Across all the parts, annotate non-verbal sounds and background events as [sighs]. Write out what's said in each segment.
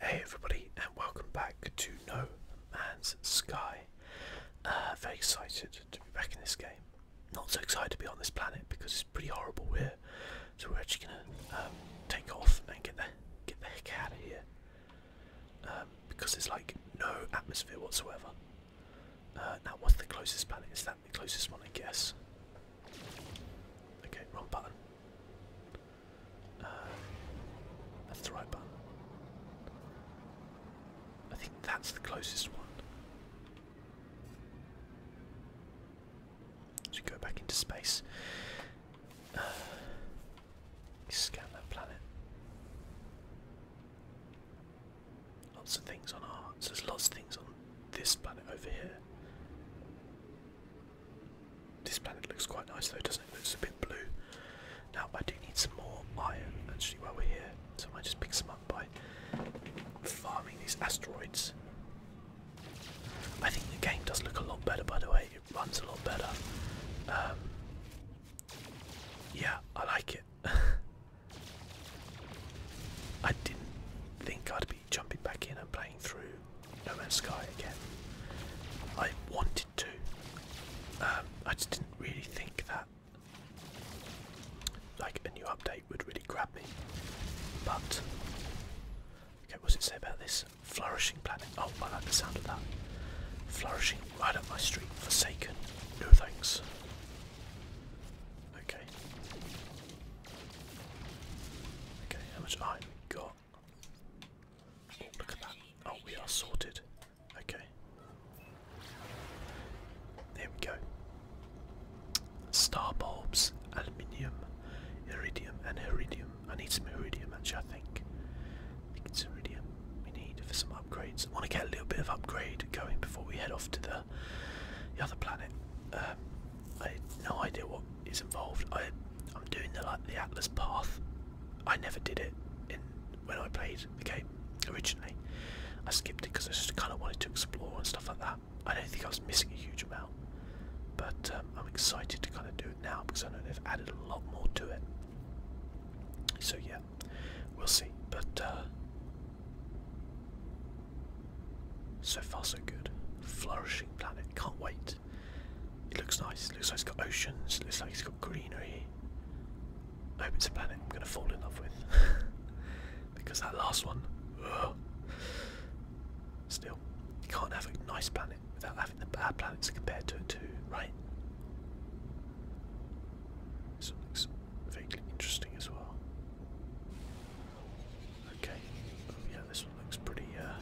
Hey everybody and welcome back to No Man's Sky. Uh, very excited to be back in this game. Not so excited to be on this planet because it's pretty horrible here. So we're actually gonna um, take off and get the get the heck out of here um, because there's like no atmosphere whatsoever. Uh, now what's the closest planet? Is that the closest one? I guess. Okay, wrong button. Uh, that's the right button. I think that's the closest one. So you go back into space. Uh, scan that planet. Lots of things on our. there's lots of things on this planet over here. This planet looks quite nice though, doesn't it? Looks a bit blue. Now I do need some more iron actually while we're here, so I might just pick some up by farming these asteroids. I think the game does look a lot better by the way, it runs a lot better. Um, yeah, I like it. [laughs] I didn't think I'd be jumping back in and playing through No Man's Sky again. I wanted to. Um, I just didn't really think that like a new update would really grab me. But okay, what's it say about this? Flourishing planet. Oh, I like the sound of that. Flourishing right up my street. Forsaken. No thanks. Okay. Okay, how much iron got? look at that. Oh, we are sorted. Okay. There we go. Star bulbs, aluminium, iridium, and iridium. I need some iridium actually, I think. I think iridium we need for some upgrades. want to get a little bit of upgrade going before we head off to the, other planet. Um, I had no idea what is involved. I I'm doing the like the Atlas path. I never did it in when I played the game originally. I skipped it because I just kind of wanted to explore and stuff like that. I don't think I was missing a huge amount, but um, I'm excited to kind of do it now because I know they've added a lot more to it. So yeah, we'll see. But uh, so far so good. Flourishing planet. Can't wait it. looks nice. It looks like it's got oceans. It looks like it's got greenery. I hope it's a planet I'm gonna fall in love with. [laughs] because that last one, still, you can't have a nice planet without having the bad planets compared to it too, right? This looks vaguely interesting as well. Okay. Oh yeah, this looks pretty uh,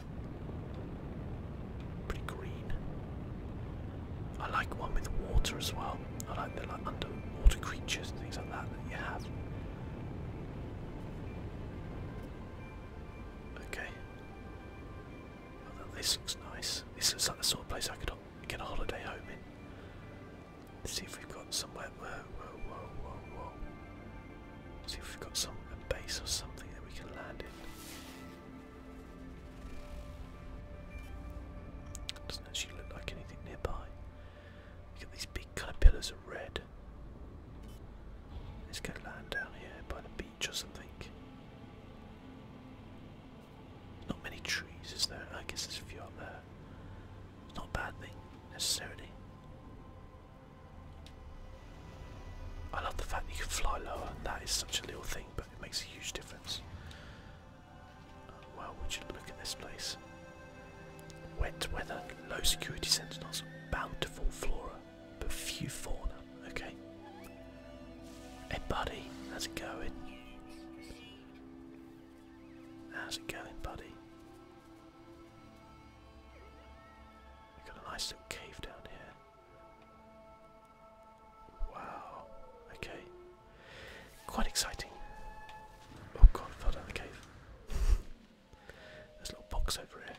pretty green. I like one with water as well. I like the like underwater creatures and things like that that you have. Okay. Oh, this looks nice. This looks like the sort of place I could get a holiday home in. see if we've got somewhere. Whoa, See if we've got some base or something that we can land in. Doesn't actually look like anything nearby. You got these big kind of pillars of red. Let's go land down here by the beach or something. Not many trees, is there? I guess there's a few up there. It's Not a bad thing necessarily. I love the fact that you can fly lower. That is such a little thing, but it makes a huge difference. Uh, well, would you look at this place? Wet weather, low security sentinels, bountiful flora, but few fauna. Okay. Hey, buddy, how's it going? How's it going, buddy? We've got a nice little cave down here. Wow. Okay. Quite exciting. Oh god, fell down the cave. There's a little box over here.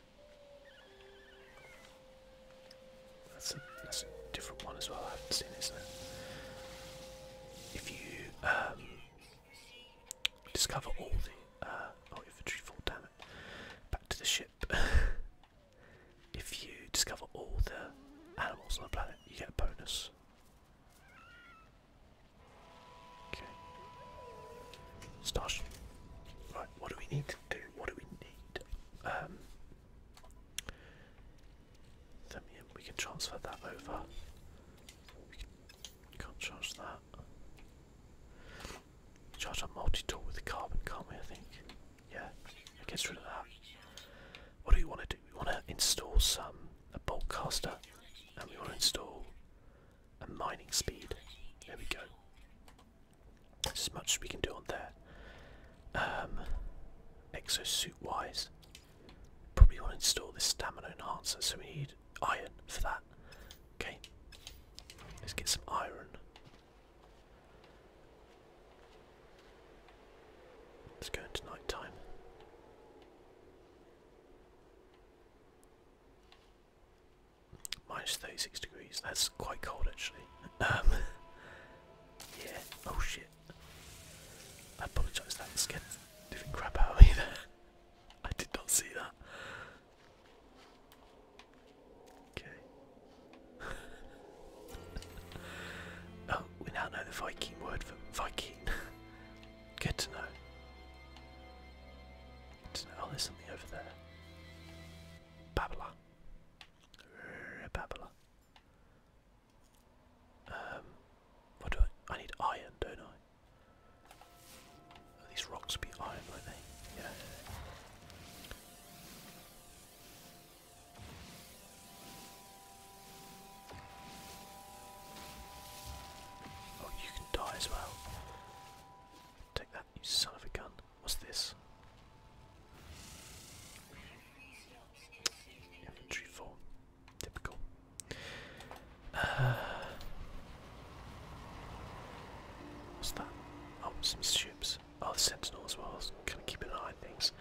That's a different one as well. I haven't seen it, If you um, discover all the uh, oh, infantry full, damn it. Back to the ship. [laughs] if you discover all the animals on the planet, you get a bonus. Okay. Starship. Right, what do we need to do? What do we need? Um, we can transfer that over. We can't charge that. Charge up multi with the carbon, can't we, I think? Yeah, gets rid of that. What do we want to do? We want to install some, a bolt caster, and we want to install a mining speed. There we go. as much as we can do on there. Um, Exosuit-wise, probably want to install this stamina enhancer, so we need iron for that. Okay, let's get some iron. Let's go into night time. Minus 36 degrees, that's quite cold actually. Um, [laughs] yeah, oh shit. I apologise, that scared the crap out of [laughs] I did not see that. Okay. [laughs] oh, we now know the Viking word for Viking. [laughs] Good to know. Oh, there's something over there. Babala. Babala. Um, what do I? I need iron, don't I? these rocks be iron, won't they? Oh, you can die as well. Take that, you son of a gun. What's this? Infantry form. Typical. Uh, what's that? Oh, some ships. Oh, the sentinels, while I was kind of keeping an eye on things.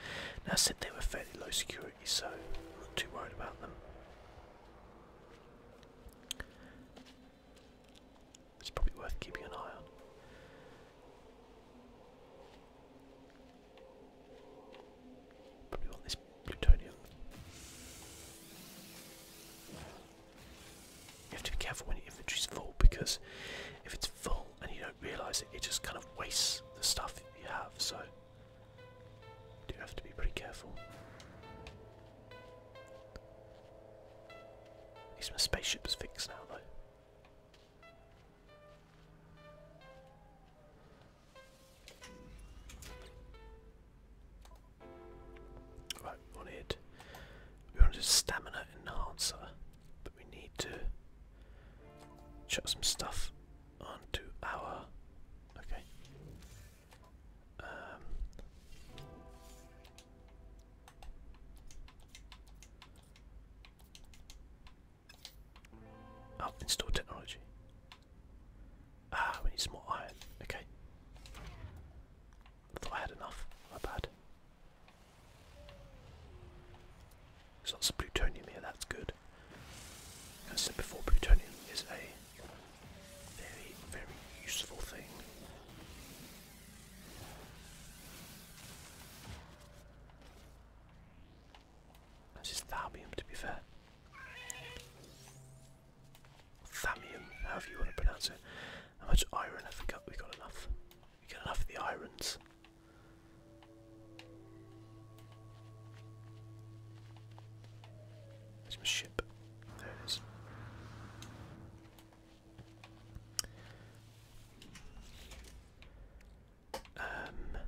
Now, I said they were fairly low security, so I'm not too worried about them. It's probably worth keeping an eye on. Probably want this plutonium. You have to be careful when your inventory's full because if it's full and you don't realise it, it just kind of wastes the stuff you have. So you do have to be pretty careful. At least my spaceship's fixed now, though. Right, on it. We want a stamina enhancer, but we need to chuck some stuff onto our. Okay. Um, oh, install technology. Ah, we need some more iron. Okay. thought I had enough. My bad. There's lots of plutonium here, that's good. As I said before, plutonium is a very, very useful thing. This is thalmium, to be fair. Thalmium, however you want to pronounce it. How much iron have we got? We got enough. We get enough of the irons. There's my ship. There it is. Um, damn.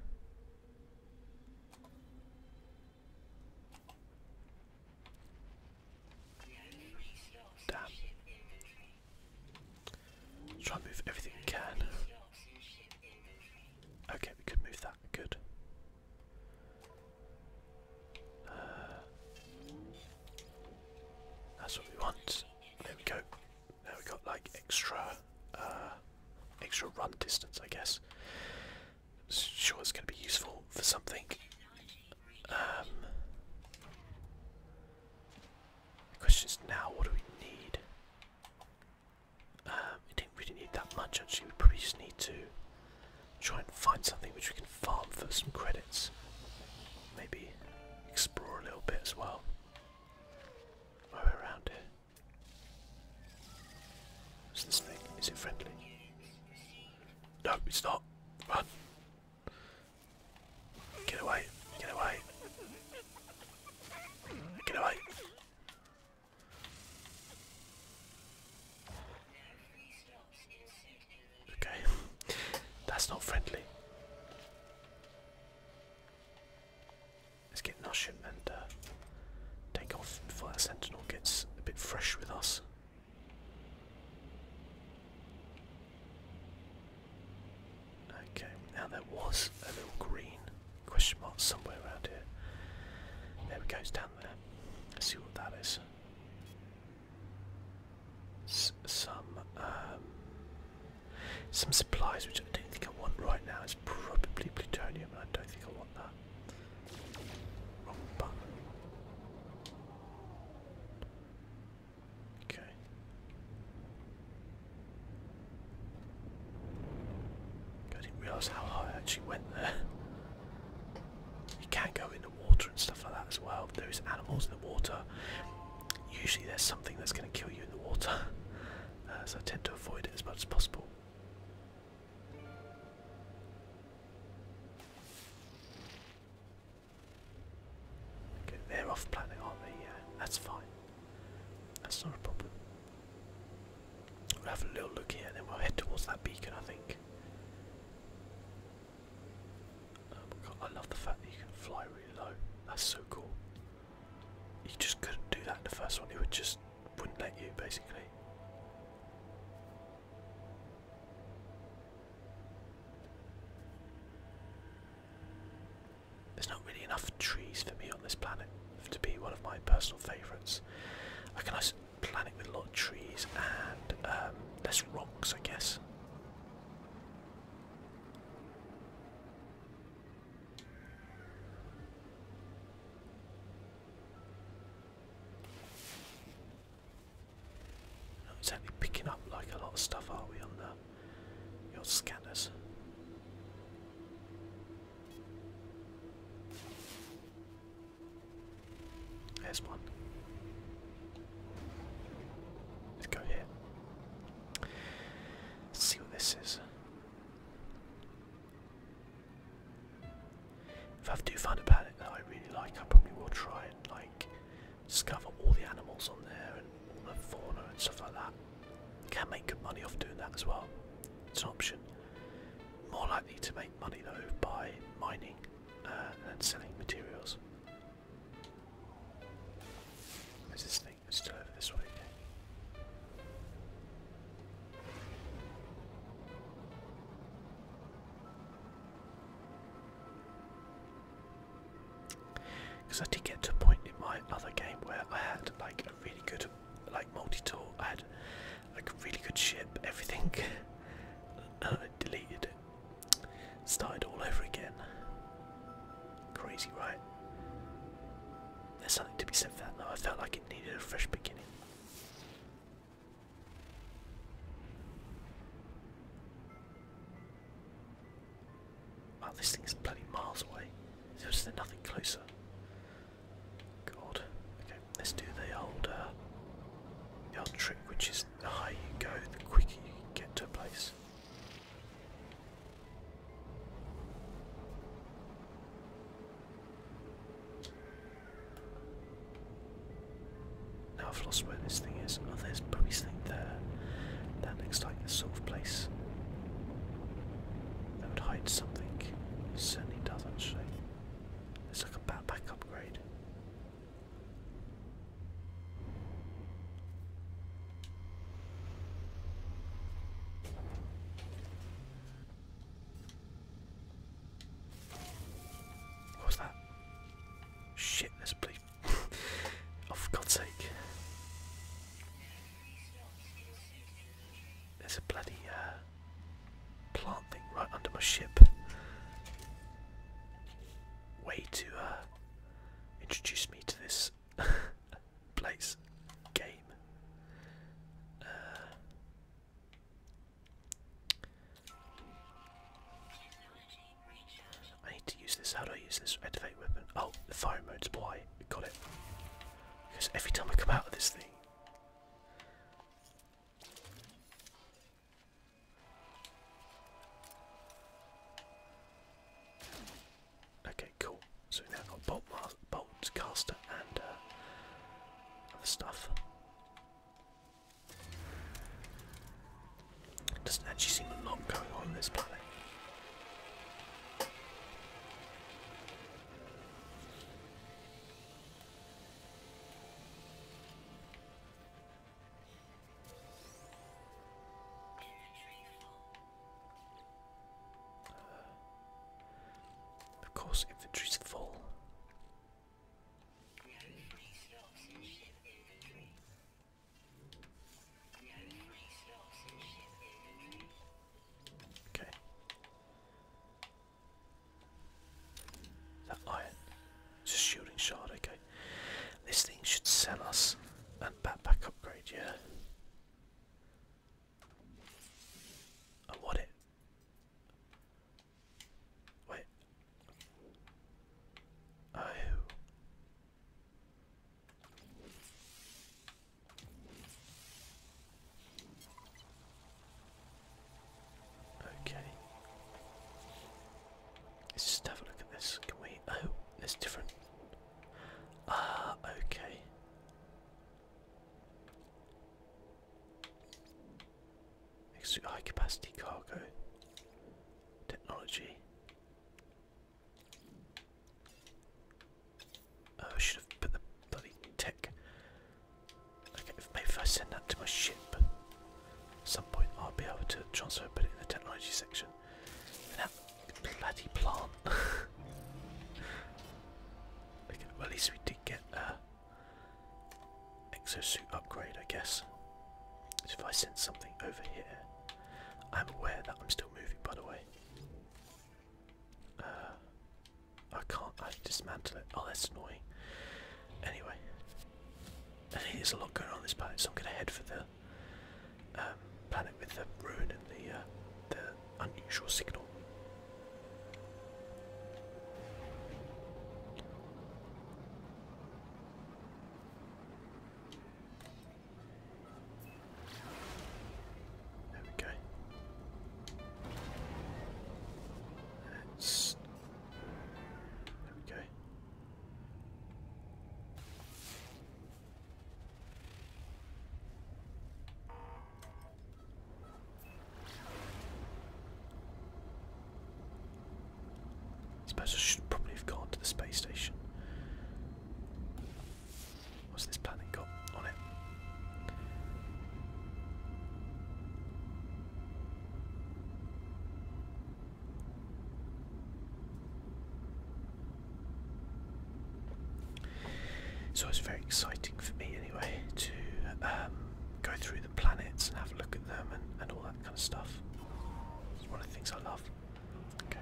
Try and move everything we can. Okay, we could move that. Good. Uh, that's what we want. There we go. Now we have got like extra, uh, extra run distance, I guess. Sure, it's going to be useful for something. Um, the question is now, what do we need? Um, we didn't really need that much actually, we probably just need to try and find something which we can farm for some credits. Maybe explore a little bit as well while we around here. this thing? Is it friendly? No, it's not. Run. Get away, get away. Get away. Okay, that's not friendly. Let's get Nushim and uh, take off before sentinel gets a bit fresh with us. Okay, now there was a little green question mark somewhere around here. There we go, it's down there. Let's see what that is. some um, some supplies which I don't think I want right now. It's probably plutonium, I don't think I want that. Okay. I didn't realise how high I actually went there. You can not go in the water and stuff like that as well. There is animals in the water. Usually there's something that's going to kill you in the water, [laughs] uh, so I tend to avoid it as much as possible. Okay, they're off planet, aren't they? Yeah, that's fine. That's not a problem. We'll have a little look here and then we'll head towards that beacon, I think. Oh my god, I love the fact that you can fly really low. That's so cool. You just couldn't do that in the first one, it would just wouldn't let you basically. There's not really enough trees for me on this planet to be one of my personal favourites. I can nice planet with a lot of trees and um, less rocks, I guess. It's exactly picking up like a lot of stuff, are we, on the your scanners? There's one. Let's go here. see what this is. If I do find a planet that I really like, I probably will try and like discover all the animals on there and all the fauna and stuff like that. You can make good money off doing that as well. It's an option. More likely to make money though by mining uh, and selling materials. this thing? It's still over this way. Because I did get to a point in my other game where I had like a really good like multi-tool. I had like a really good ship, everything, I [laughs] uh, deleted it. Started all over again. Crazy, right? There's something to be said for that though. I felt like it needed a fresh beginning. Wow, this is bloody miles away. There's nothing closer. God. Okay, let's do the old, uh, the old trick, which is the higher you go, the quicker you get to a place. Now I've lost where this thing is. Oh, there's probably something there. That looks like the sort of place that would hide something. certainly does, actually. It's like a backpack upgrade. What was that? Shit, there's a [laughs] oh, for God's sake. There's a bloody uh, plant thing right under my ship. Way to uh, introduce me to this [laughs] place, game. Uh, I need to use this. How do I use this? Activate weapon. Oh, the fire mode's Y. Got it. Because every time I come out of this thing. Okay, cool. So now I've got bolt, bolt caster, and uh, other stuff. Doesn't actually seem a lot going on on this planet. of course, inventory's full. Okay. That iron. Just shielding shard, okay. This thing should sell us a backpack upgrade, yeah. I want it. Wait. Oh. Okay. Let's just have a look at this. Can we? Oh, it's different. Ah, okay. high capacity cargo technology. Oh, I should have put the bloody tech. Okay, if maybe if I send that to my ship, at some point I'll be able to transfer and put it in the technology section. that bloody plant. [laughs] okay, well at least we did get a uh, exosuit upgrade, I guess. So if I sense something over here, I'm aware that I'm still moving by the way. Uh, I can't I dismantle it. Oh that's annoying. Anyway. there's a lot going on this planet, so I'm gonna head for the um, planet with the ruin and the uh, unusual signal. There we go. Let's there we go. I suppose I should probably have gone to the space station. What's this planet got on it? So it's very exciting for me anyway to um, go through the planets and have a look at them and, and all that kind of stuff. It's one of the things I love. Okay.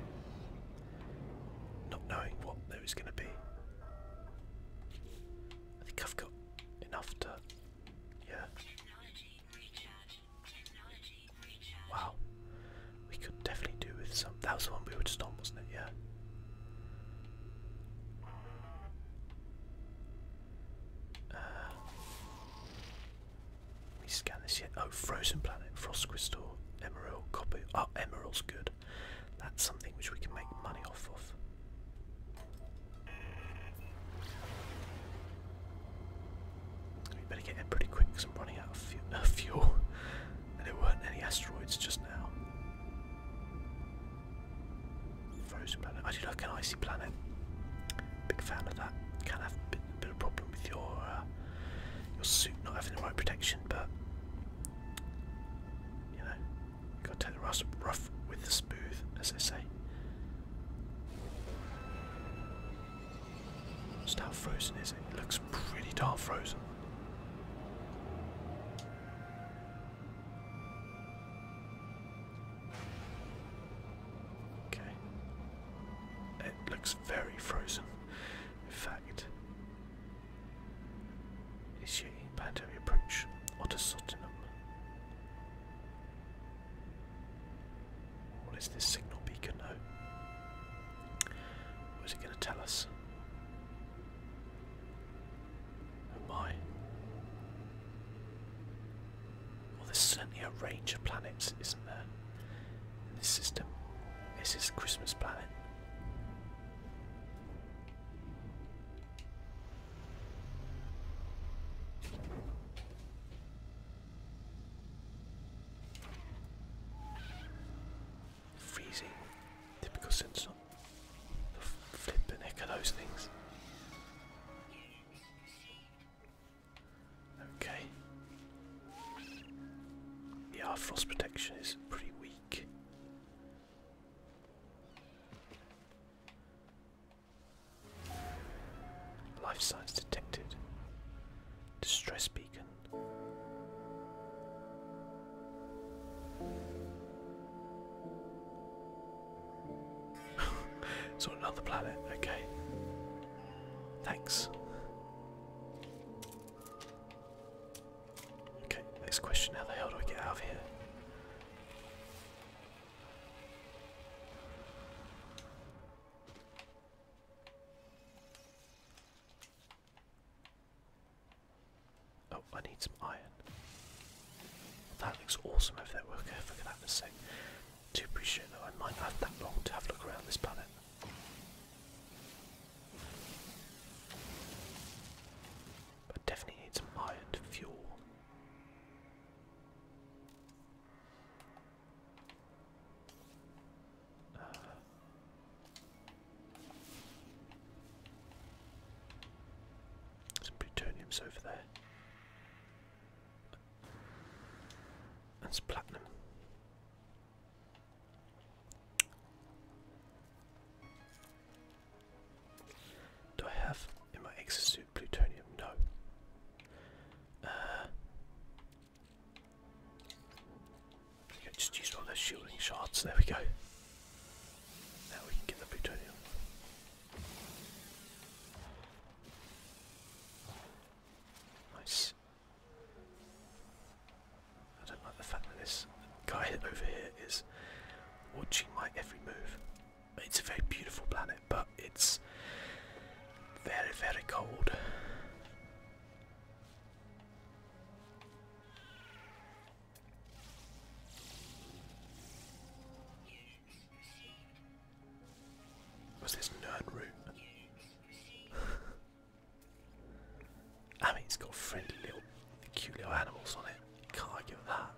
Not knowing what there was going to be. I think I've got enough to. Yeah. Wow. We could definitely do with some. That was the one we were just on, wasn't it? Yeah. Uh, we scan this yet. Oh, Frozen Planet, Frost Crystal, Emerald, Copper. Oh, Emerald's good. That's something which we can make money off of. We better get in pretty quick because I'm running out of uh, [laughs] fuel. and there weren't any asteroids just now. Frozen Planet. I do like an icy planet. Big fan of that. Can have a bit, of a problem with your uh, your suit not having the right protection, but you know, gotta take the rough, rough with the smooth, as they say. Just how frozen is it? It looks pretty darn frozen. Okay. It looks very frozen. In fact, is she bound to approach Otter Sottenham? What is this signal beacon note? What is it going to tell us? Oh well, there's certainly a range of planets, isn't there, in this system? This is Christmas planet. Freezing. Typical sensor. The flipping heck of those things. Okay. Yeah, frost protection is pretty weak. Life signs detected. Distress beacon. it's [laughs] another planet, okay. Thanks. Okay, next question. How the hell do we get out of here? Oh, I need some iron. That looks awesome over there. We'll go look at that in too pretty though I might not have that long to have a look around this planet. But definitely need some iron fuel. Uh, some plutonium's over there. That's platinum. Do I have in my exosuit plutonium? No. Uh, just use one of those shielding shards. There we go. Now we can get the plutonium. Nice. I don't like the fact that this guy over here is watching my every move. It's a very beautiful planet, but it's very, very cold. What's this nerd room? I mean, it's got friendly little, cute little animals on it. Can't argue with that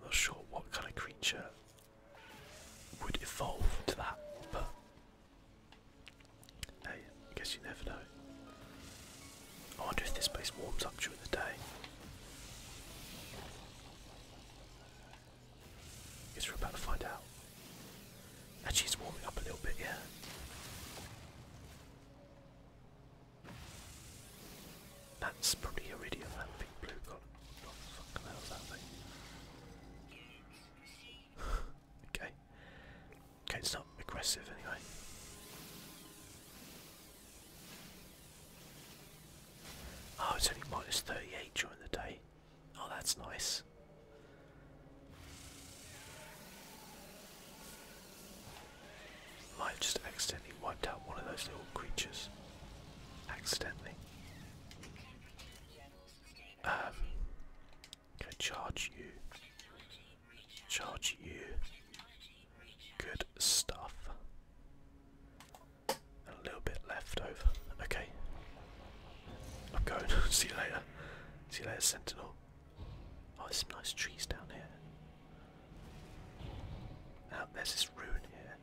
i not sure what kind of creature would evolve to that, but hey, guess you never know. I wonder if this place warms up during the day. Guess we're about to find out. Actually, it's warming up a little bit, yeah. That's probably Iridium, that big blue god. What the fuck the that thing? okay. Okay, it's not aggressive anyway. Oh, it's only minus 38 during the day. Oh, that's nice. Might have just accidentally wiped out one of those little creatures. Accidentally. Um, charge you. Charge you. Good stuff a little bit left over. Okay. I'm going. [laughs] See you later. See you later, Sentinel. Oh, there's some nice trees down here. Now there's this rune here.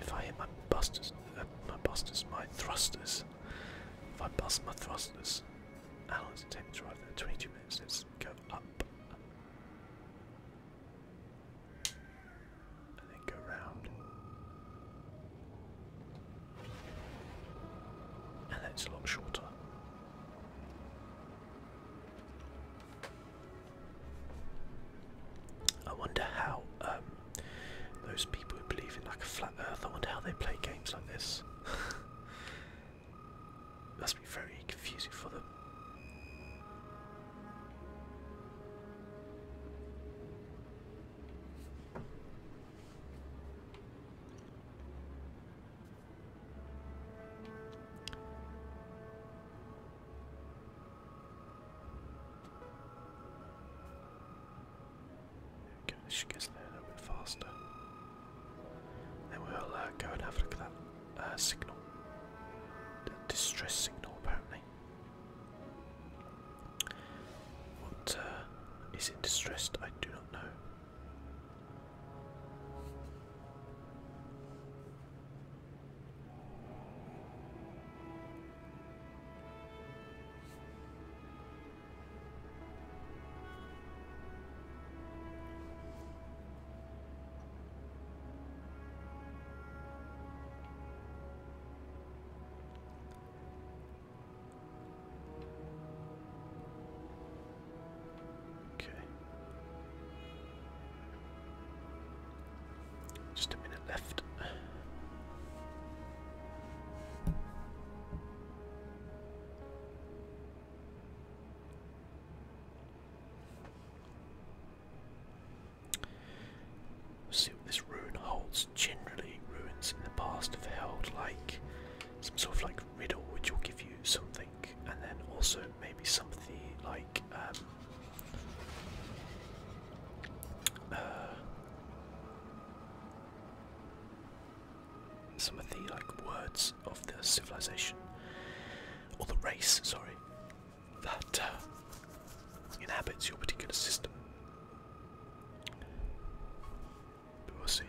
If I hit my busters, uh, my busters, my thrusters. If I bust my thrusters, how long does there? 22 minutes. Let's go up and then go round. And that's a lot shorter. I wonder how um, those people who believe in like a flat Earth. I wonder how they play games like this. [laughs] Must be very confusing for them. Okay, this should get us there a little bit faster. Then we'll uh, go and have a look at that uh, signal, the distress signal apparently. What uh, is it distressed? I do not know. Okay. Just a minute left see what this rune holds. Generally, ruins in the past have held like some sort of like riddle which will give you something, and then also maybe something like um, uh, some of the like words of the civilization or the race. Sorry, that uh, inhabits your particular system. But we'll see.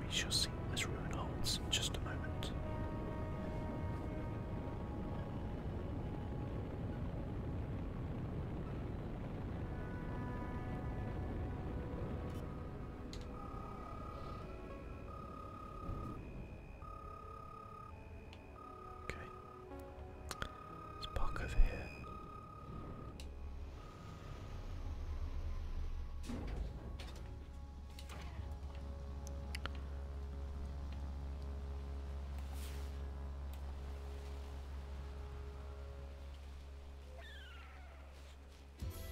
We shall see what this ruin holds just a moment. Okay. Let's park over here.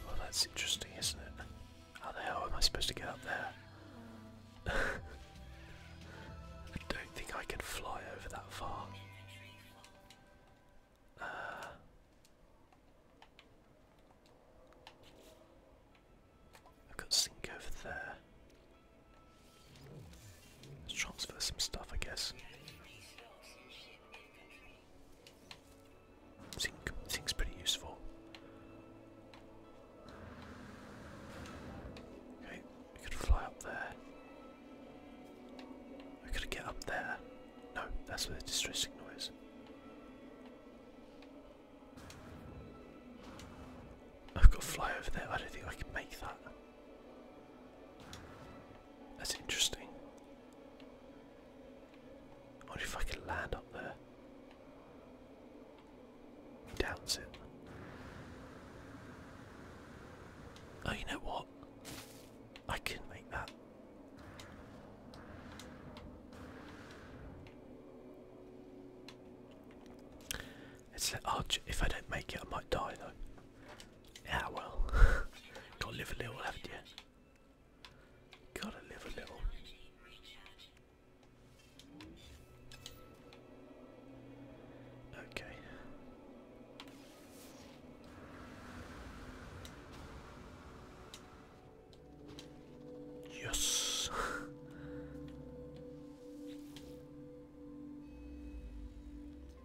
Well, oh, that's interesting, isn't it? How the hell am I supposed to get up there? [laughs] I don't think I can fly over that far. Uh, I've got sink over there. Let's transfer some stuff, I guess. Zinc, zinc's pretty useful. we could fly up there. We could get up there. No, that's where the distress signal I've got to fly over there. I don't think I can make that. That's interesting. I wonder if I land up there. doubts it. Oh, you know what? I can make that. It's that arch. Oh, if I don't make it, I might die though. Yeah, well. [laughs] Gotta live a little, haven't you? Gotta live a little. Okay. Yes. [laughs]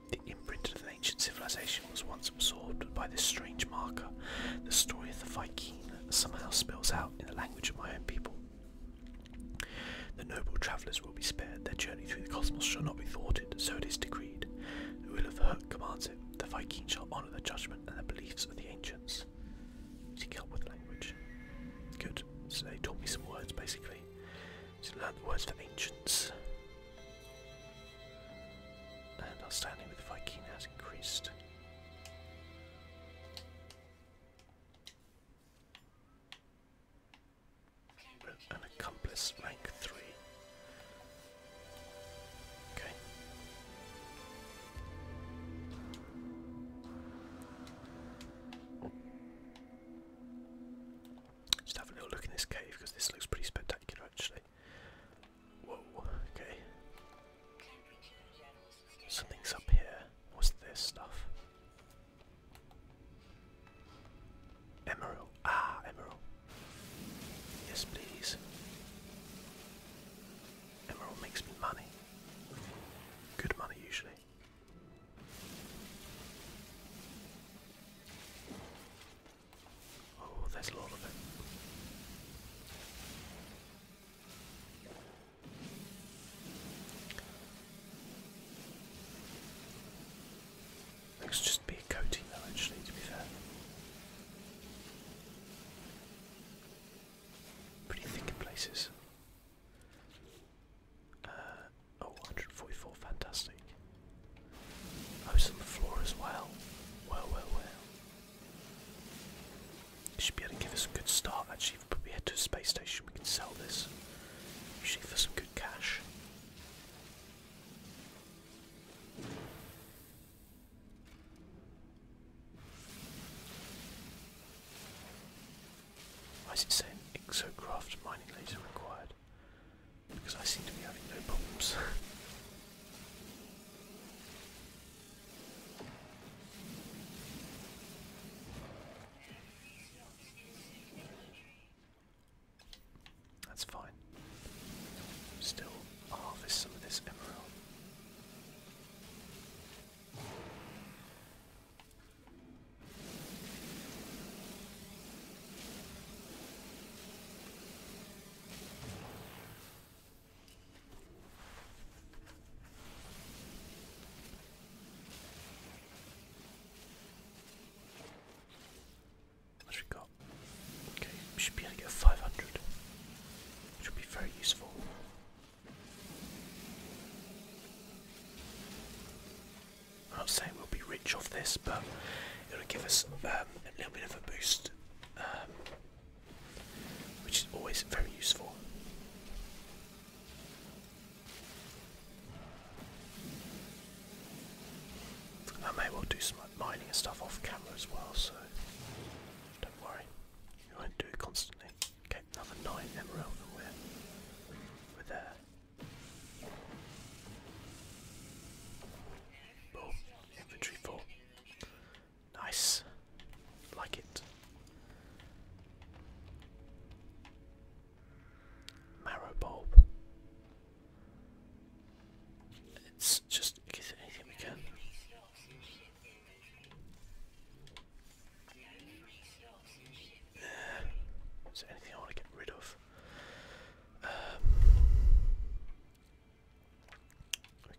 The imprint of an ancient civilization was once absorbed by this strange marker. The story of the Viking somehow spells out in the language of my own people. The noble travellers will be spared, their journey through the cosmos shall not be thwarted, so it is decreed. The will of Herc commands it, the Viking shall honour the judgment and the beliefs of the ancients. Seek help with language. Good, so they taught me some words basically. To learn the words for ancients. And our standing with the Vikings has increased. An accomplice rank three. Okay. Just have a little look in this cave because this looks pretty spectacular actually. Whoa, okay. Something's up here. What's this stuff? Emerald. Ah, emerald. Yes, please. Emerald makes me money. Good money, usually. Oh, there's a lot of it. Looks just be a coating actually to be fair. Pretty thick in places. Uh, Oh, fantastic. Oh, it's on the floor as well. Well, well, well. should be able to give us a good start, actually. If we head to a space station, we can sell this. Usually for some good cash. Why is it saying exocraft mining laser required? Because I seem to be having no problems. [laughs] That's fine. Still harvest some of this emerald. What we got? Okay, should be able to get 500, which would be very useful. I'm not saying we'll be rich off this, but it'll give us um, a little bit of a boost, um, which is always very useful. I may well do some mining and stuff off camera as well, so don't worry, we won't do it constantly. Okay, another 9 emerald and we Boom. full. Nice. Like it. Marrow bulb. It's just give anything we can. is there anything I want to get rid of? we um,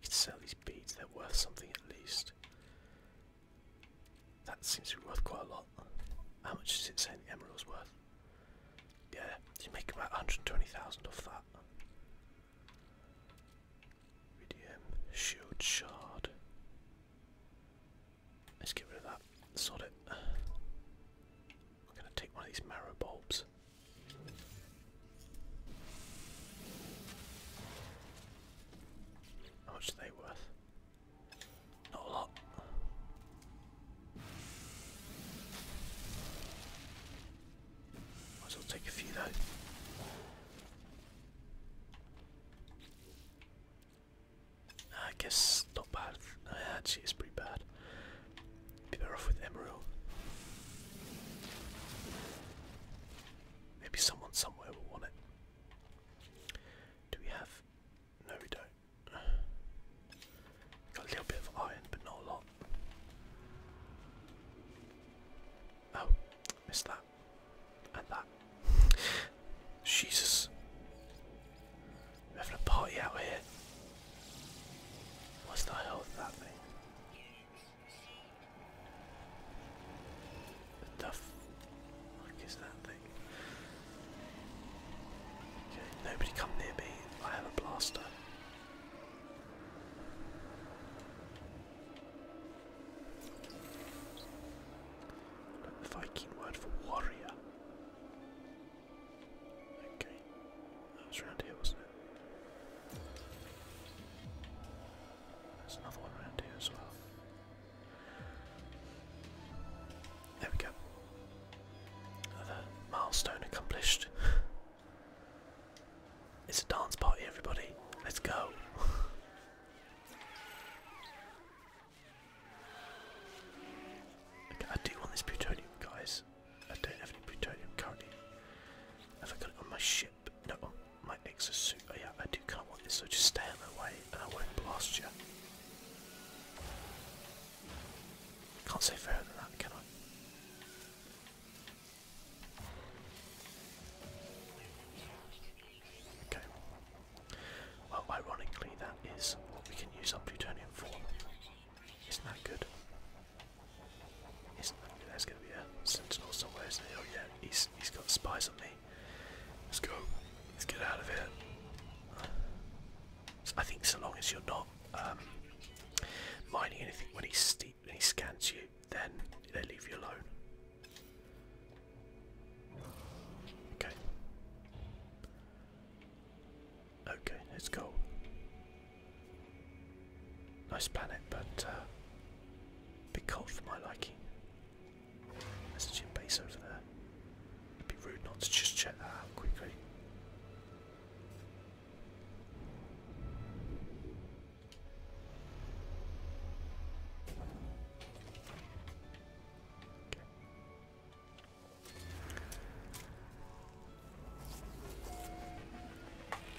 could sell these beads, they're worth something at least. That seems to be worth quite a lot. How much is it saying the emerald's worth? Yeah, you make about 120,000 of that. Medium shield shard. Let's get rid of that. Sod it. I'm going to take one of these marrow bulbs. How much are they worth? Not a lot. Might as well take a few though. I guess bad. Uh, actually, it's pretty bad. better off with Emerald. Maybe someone somewhere will want it. Do we have? No, we don't. [sighs] Got a little bit of iron, but not a lot. Oh, missed that. And that. [laughs] Jesus. We're having a party out here. What's the hell is that thing? What the fuck is that thing? nobody come near me. I have a blaster. Like the word for warrior. Okay. That was round here, wasn't it? There's another one around here as well. There we go. Another milestone accomplished. [laughs] it's a dance party, everybody. Let's go. [laughs] I do want this plutonium, guys. I don't have any plutonium currently. Have I got it on my ship? No, on my exosuit. Oh yeah, I do kind of want this, so just stay out of the way and I won't blast you. Can't say fairer than that, can I? Okay. Well, ironically, that is what we can use our plutonium for. Isn't that good? is gonna be a sentinel somewhere, Oh yeah, he's he's got spies on me. Let's go. Let's get out of here. I think so long as you're not um, mining anything when he steep when he scans you, then they leave you alone. Okay. Okay, let's go. Nice planet, but uh, a bit cold for my liking. There's a gym base over there. It'd be rude not to just check that out quickly.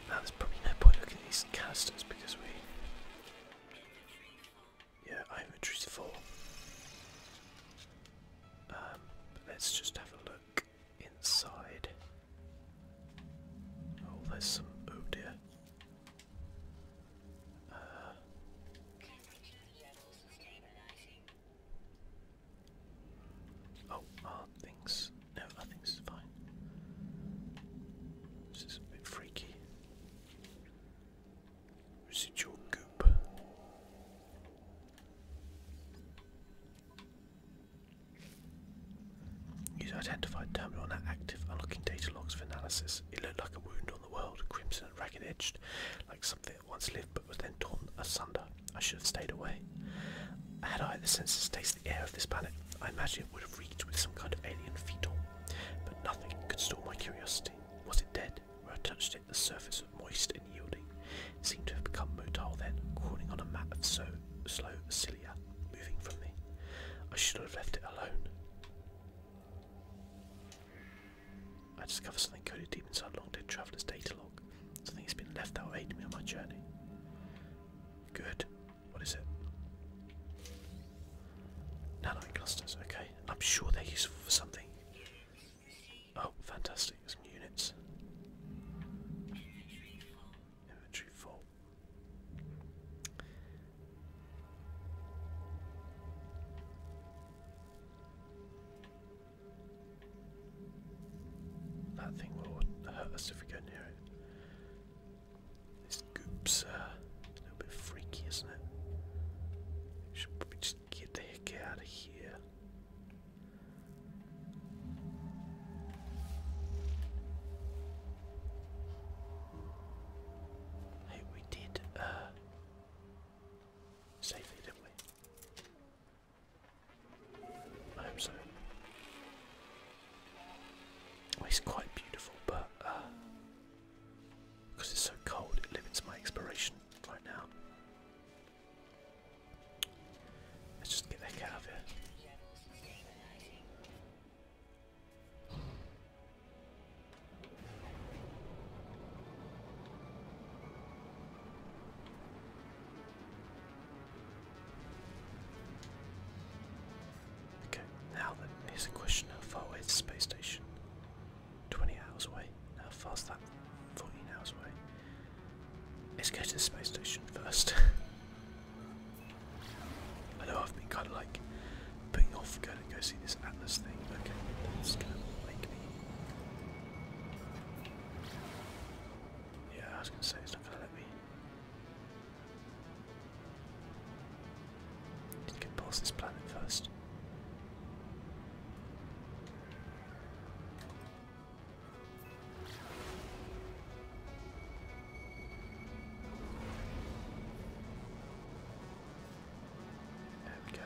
Now there's probably no point looking at these casters because we. Yeah, I inventory four. Um, but let's just have a look inside. Oh, there's some. Oh dear. Uh, Oh, things. No, I think fine. This is a bit freaky. Residual goop. Use identified terminal now active, unlocking data logs for analysis. It looked like a wound on the world, crimson and ragged edged, like something once lived but was then torn asunder. I should have stayed away. Had I the senses to taste the air of this planet, I imagine it would have reeked with some kind of alien fetal. But nothing could stall my curiosity. Was it dead? Where I touched it, the surface was moist and yielding. seemed to have become motile then, crawling on a mat of so slow cilia, moving from me. I should have left it alone. I discover something coded deep inside Long Dead Traveler's data log. Something has been left out will aid on my journey. Good. What is it? Nanite clusters, okay. I'm sure they're useful for something. Oh, fantastic. Some units. Inventory full. That thing will hurt us if we go near it. This goop's uh, a little bit freaky, isn't it? We should probably just get the heck out of here. Hey, we did uh, didn't we? I hope so. it's quite beautiful, but because uh, it's so cold, it limits my exploration right now. Let's just get the heck out of here. Okay, now then, here's a question how far away is the space station? 20 hours away. How far's that? 14 hours away. Let's go to the space station first. I [laughs] know I've been kind of like putting off going to go see this Atlas thing. Okay, that's going to make me yeah, I was gonna say it's not gonna let me. Need to get past this planet first. There we go.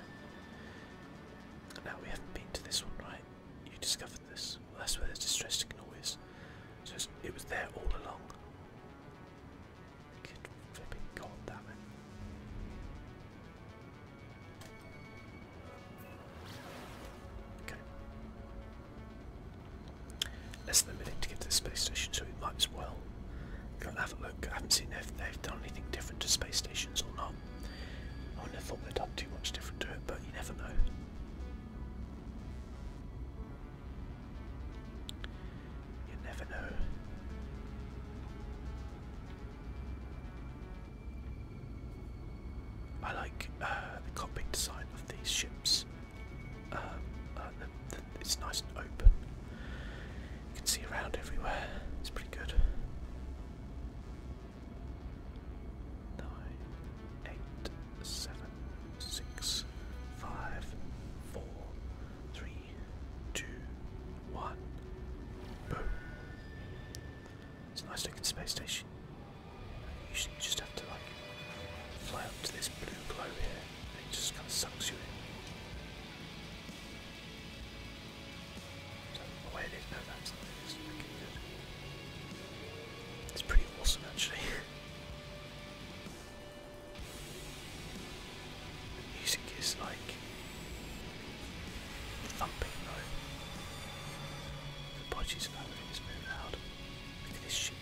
Now we haven't been to this one, right? You discovered this. that's where the distressing noise. So it was there all along. Good flipping god Less than a minute to get to the space station, so we might as well go and have a look. I haven't seen if they've done anything different to space stations or not. I wouldn't have thought they'd done too much different to it, but you never know. You never know. I like uh, the cockpit design of these ships. Um, uh, it's nice and open. can see around everywhere. It's pretty good nine, eight, seven, six, five, four, three, two, one. Boom. It's a nice looking space station. Usually you just have to like fly up to this blue glow here and it just kind of sucks you in it is pretty awesome actually. [laughs] the music is like thumping though. The bodies of Halloween is very loud. Look at this ship.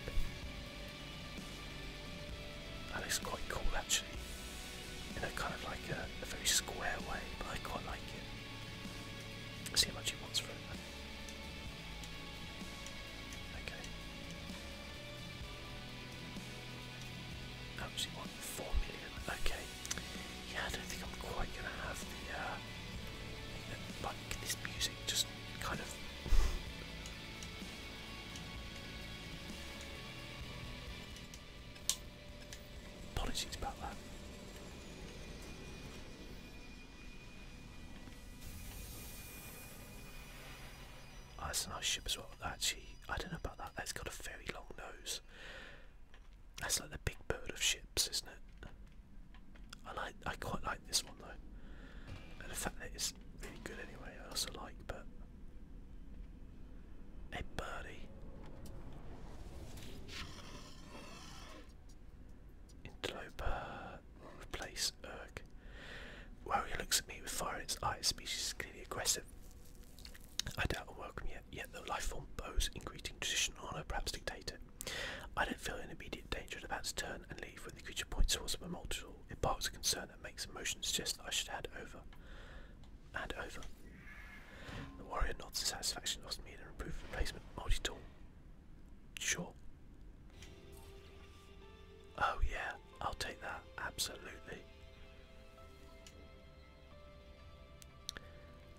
That looks quite cool actually. In a kind of like a very square way, but I quite like it. See how much he wants for it Okay. How much he want? Four million. Okay. Yeah, I don't think I'm quite gonna have the uh this music just kind of Apologies about that. that's ah, a nice ship as well. Actually, I don't know about that. That's got a very long nose. That's like the big bird of ships, isn't it? I like. I quite like this one though, the fact that it's really good anyway. I also like, but a birdie. Interloper will replace Urg. Warrior looks at me with fire in its eyes. Species is clearly aggressive. I doubt a welcome yet, yet the life form bows in greeting tradition, honour, perhaps dictator. I don't feel an immediate danger and about to turn and leave when the creature points towards my multiple. It barks a concern and makes a motion to suggest that I should hand over. Hand over. The warrior nods in satisfaction, lost me in a reproof replacement multi-tool. Sure. Oh yeah, I'll take that, absolutely.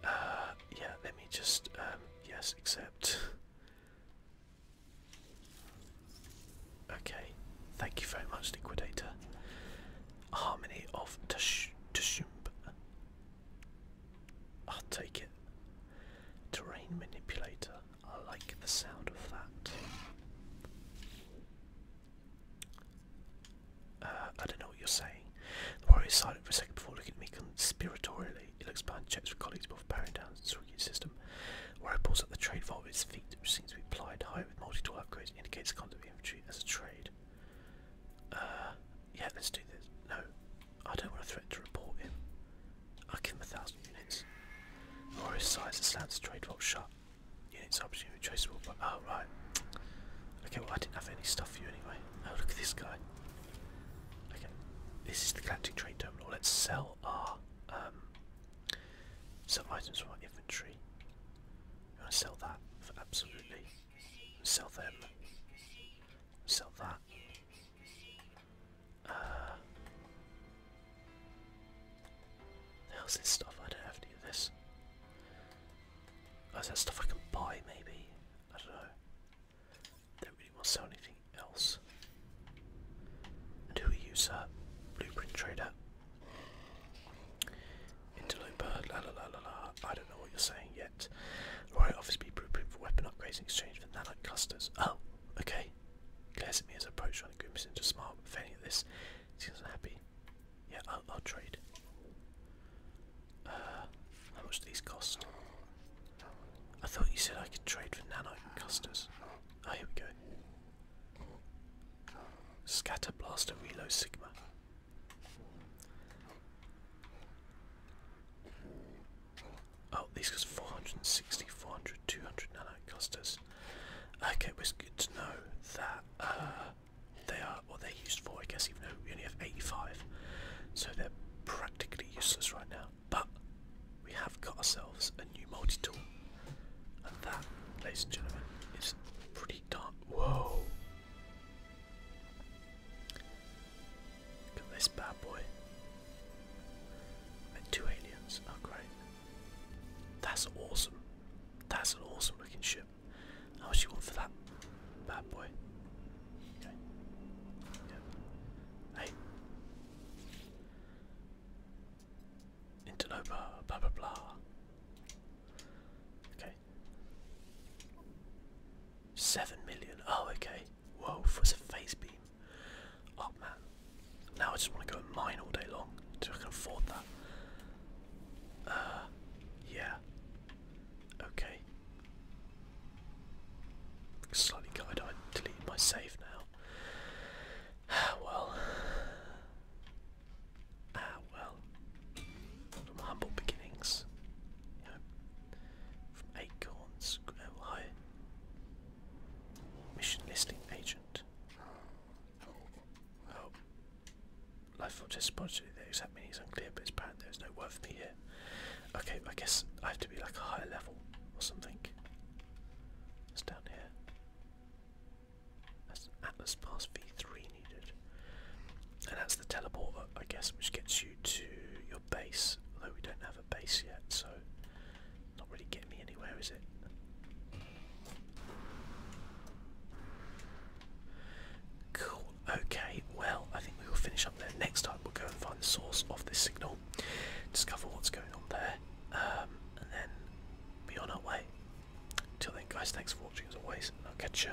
Uh, yeah, let me just, um, yes, accept. okay, thank you very much, Liquidator. Harmony of Tushumb. I'll take it. Terrain manipulator. I like the sound of that. Uh, I don't know what you're saying. The warrior is silent for a second before looking at me conspiratorially. He looks blind, checks with colleagues before powering down his rocket system. The warrior pulls up the trade vault with its feet, which seems to be plied high with multi-tool upgrades, indicates the concept of inventory as a trade. Uh, yeah, let's do this. No, I don't want to threaten to report him. I'll give him a thousand units. Warrior's size and slants trade well shut. Units option traceable but oh right. Okay, well I didn't have any stuff for you anyway. Oh look at this guy. Okay. This is the galactic trade terminal. Let's sell our um, some items from our inventory. You wanna sell that for absolutely Sell them. Sell that. Uh, how's this stuff? I don't have to do this. Oh, is that stuff I can buy, maybe? I don't know. Don't really want to sell anything else. who are you, sir? Blueprint trader. Interloper, la la la la la. I don't know what you're saying. yet yet. The Warrior offers for weapon upgrades in exchange for nanite clusters. Oh, okay. Glares at me as I approach, trying to grimace into a smile, but failing at this, seems unhappy. Yeah, I'll, trade. Uh, how much do these cost? I thought you said I could trade for nanite clusters. Oh, here we go. Scatter Blaster Reload Sigma. Oh, these cost 460, 400, 200 nano costers. Okay, well, it's good to know that uh, they are what they're used for, I guess, even though we only have 85. So they're practically useless right now. But we have got ourselves a new multi tool. And that, ladies and gentlemen, is pretty darn. Whoa! Look this bad boy. two aliens. Oh great. That's awesome. That's an awesome looking ship. How much you want for that? Bad boy. Okay. Hey. Interloper, blah blah blah. Okay. Seven million. Oh, okay. Whoa, for [laughs] a face beam. Oh man. Now I just want to go mine all day long until I can afford that. Uh, yeah. Okay. Slightly guide. I deleted my save now. Ah, well. Ah well. humble beginnings. Acorns, Ohio. Mission listing agent. Oh. oh. Life Forge has sponsored the exact meaning is unclear, but it's bad. there is no word for me here. Okay, I guess I have to be like a higher level or something. What's down here? That's Atlas Pass V3 needed and that's the teleporter, I guess, which gets you to your base. Although we don't have a base yet, so not really getting me anywhere, is it? Cool. Okay. Well, I think we will finish up there. Next time, we'll go and find the source of this signal, discover what's going on there, um, and then be on our way. Till then, guys. Thanks for watching as always, I'll catch you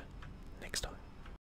next time.